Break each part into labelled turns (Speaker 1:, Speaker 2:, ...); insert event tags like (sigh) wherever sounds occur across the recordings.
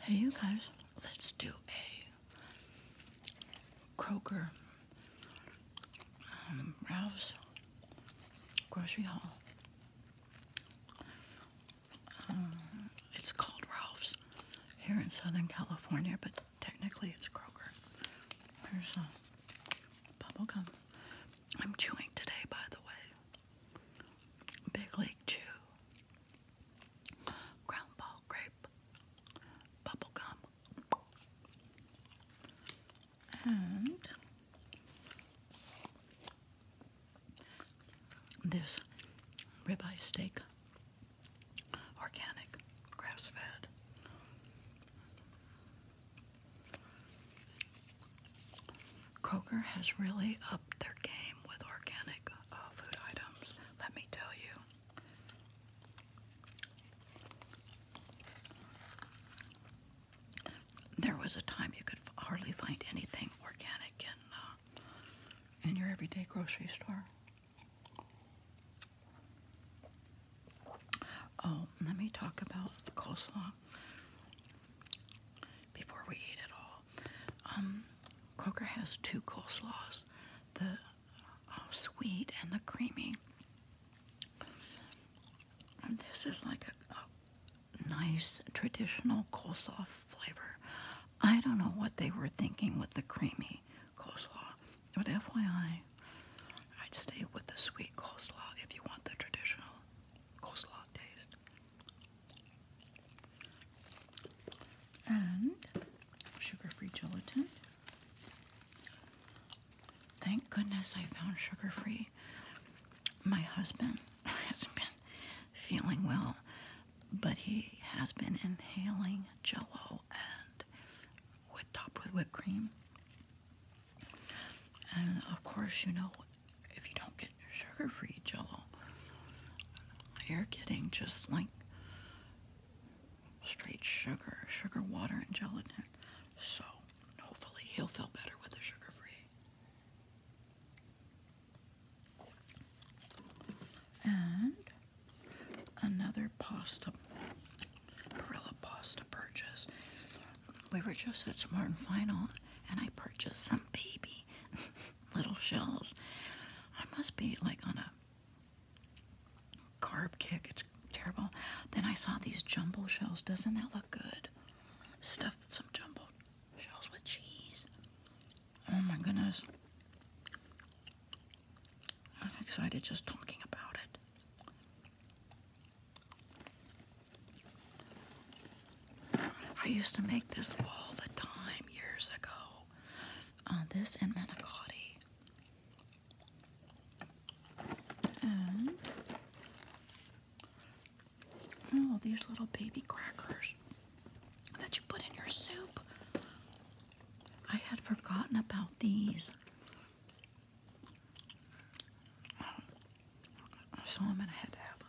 Speaker 1: Hey, you guys, let's do a Kroger um, Ralph's grocery haul. Uh, it's called Ralph's here in Southern California, but technically it's Kroger. There's a bubble gum. I'm chewing today, by the way. Big League Chew, Ground Ball Grape, Bubble Gum, and this ribeye steak, organic, grass fed. Kroger has really upped their game with organic uh, food items, let me tell you. There was a time you could hardly find anything organic in, uh, in your everyday grocery store. Oh, let me talk about the coleslaw before we eat it all. Um, Kroger has two coleslaws the uh, sweet and the creamy. this is like a, a nice traditional coleslaw flavor. I don't know what they were thinking with the creamy coleslaw, but FYI, I'd stay with the sweet coleslaw if you want the traditional coleslaw taste and sugar-free gelatin. Thank goodness I found sugar-free. My husband (laughs) hasn't been feeling well, but he has been inhaling jello and with topped with whipped cream. And of course, you know if you don't get your sugar-free jello, you're getting just like straight sugar, sugar water and gelatin. So hopefully he'll feel better with the sugar-free. And another pasta, Barilla pasta purchase we were just at Smart and Final, and I purchased some baby (laughs) little shells. I must be like on a carb kick. It's terrible. Then I saw these jumbo shells. Doesn't that look good? Stuff some jumbo shells with cheese. Oh my goodness. I'm excited just talking about it. I used to make this all the time years ago. on uh, this and manicotti. And oh, these little baby crackers that you put in your soup. I had forgotten about these. I saw him and I to have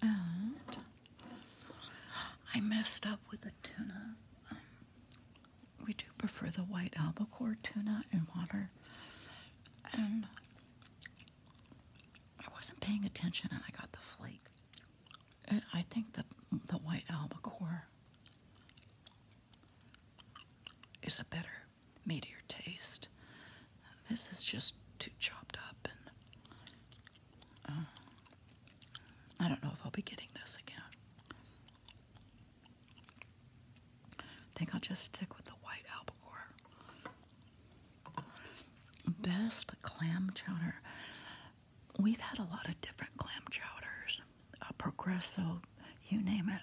Speaker 1: him. And I messed up with the tuna. Um, we do prefer the white albacore tuna in water. And I wasn't paying attention and I got the flake. I think the, the white albacore is a better, meatier taste. This is just too chopped up, and uh, I don't know if I'll be getting this again. I think I'll just stick with the white albacore. Best clam chowder. We've had a lot of different clam chowders a Progresso, you name it.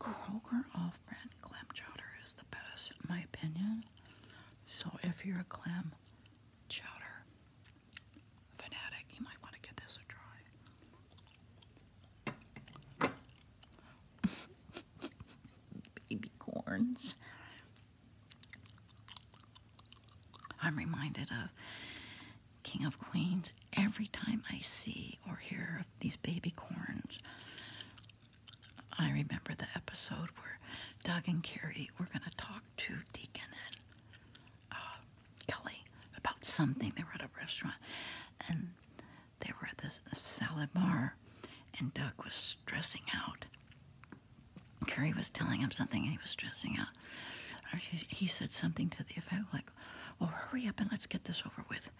Speaker 1: Kroger off brand clam chowder is the best, in my opinion. So, if you're a clam chowder fanatic, you might want to give this a try. (laughs) Baby corns. I'm reminded of King of Queens, every time I see or hear of these baby corns, I remember the episode where Doug and Carrie were going to talk to Deacon and uh, Kelly about something. They were at a restaurant and they were at this salad bar, and Doug was stressing out. Carrie was telling him something and he was stressing out. he said something to the effect like, well, hurry up and let's get this over with.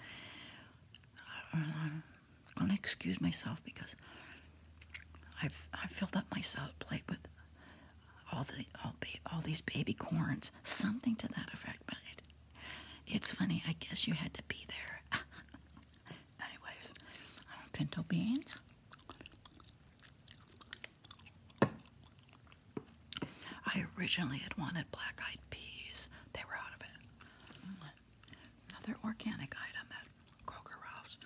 Speaker 1: I'm going to excuse myself because I've, i filled up my salad plate with all the all, all these baby corns, something to that effect. But it's funny. I guess you had to be there. (laughs) Anyways, pinto beans. I originally had wanted black eyed peas, they were out of it. Another organic item at Kroger Ralph's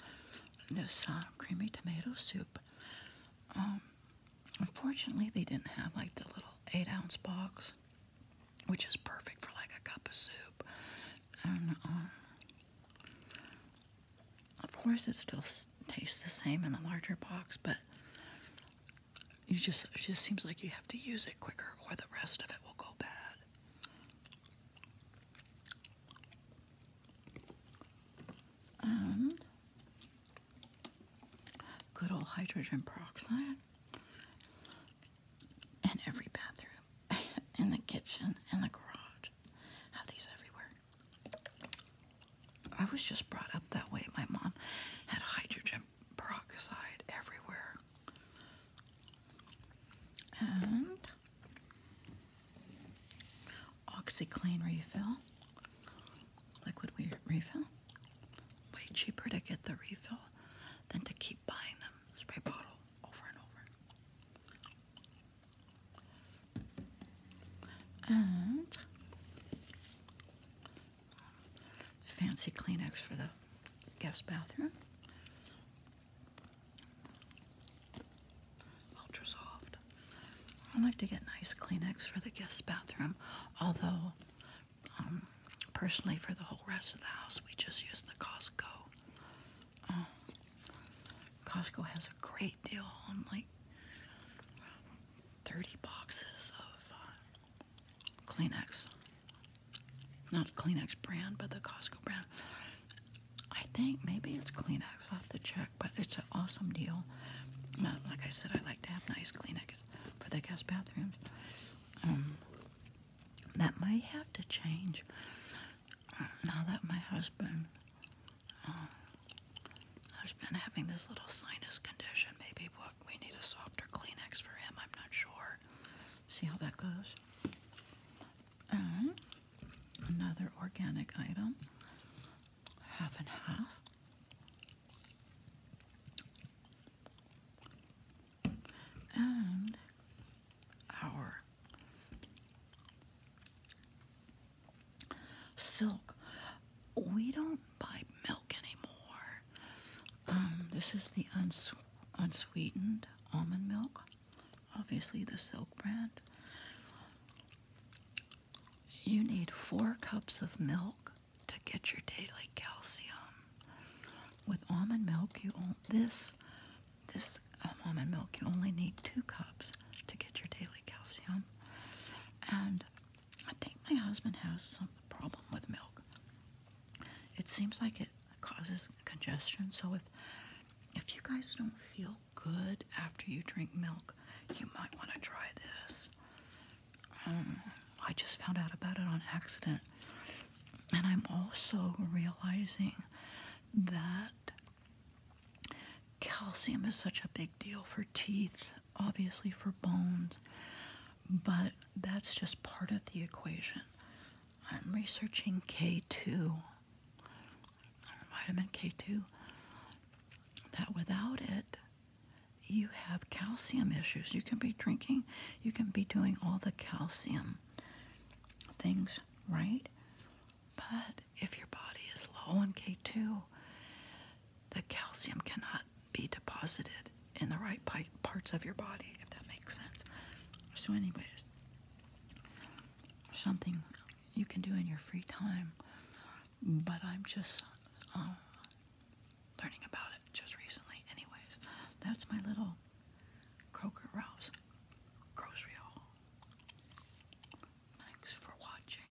Speaker 1: this uh, creamy tomato soup. Um, unfortunately, they didn't have like the little eight ounce box, which is perfect for like a cup of soup. Um, of course, it still tastes the same in the larger box, but you just it just seems like you have to use it quicker, or the rest of it will go bad. And good old hydrogen peroxide in every bathroom, (laughs) in the kitchen, in the garage. Have these everywhere. I was just brought up that way. My mom had hydrogen peroxide everywhere. And OxyClean refill, liquid refill. Way cheaper to get the refill than to keep buying them spray bottle over and over fancy Kleenex for the guest bathroom. Ultra soft. I like to get nice Kleenex for the guest bathroom, although, um, personally, for the whole rest of the house, we just use the Costco. Um, Costco has a great deal on like 30 boxes of uh, Kleenex. Not Kleenex brand, but the Costco brand. I think maybe it's Kleenex. I'll have to check, but it's an awesome deal. Uh, like I said, I like to have nice Kleenex for the guest bathrooms. Um, that may have to change uh, now that my husband I've been having this little sinus condition. Maybe we need a softer Kleenex for him. I'm not sure. See how that goes. And another organic item, half and half. And our Silk. We don't buy milk anymore. Um, this is the unsweetened almond milk. Obviously, the Silk brand. You need four cups of milk to get your daily calcium. With almond milk, you this this um, almond milk. You only need two cups to get your daily calcium, and I think my husband has some problem with milk. It seems like it causes congestion. So if if you guys don't feel good after you drink milk, you might want to try this. Um, I just found out about it on accident. And I'm also realizing that calcium is such a big deal for teeth obviously for bones, but that's just part of the equation. I'm researching K2, vitamin K2, that without it, you have calcium issues. You can be drinking, you can be doing all the calcium things, right? But if your body is low on K2, the calcium cannot be deposited in the right parts of your body, if that makes sense. So, anyways, something you can do in your free time, but I'm just um, learning about it just recently. Anyways, that's my little Kroger Ralph's grocery haul. Thanks for watching.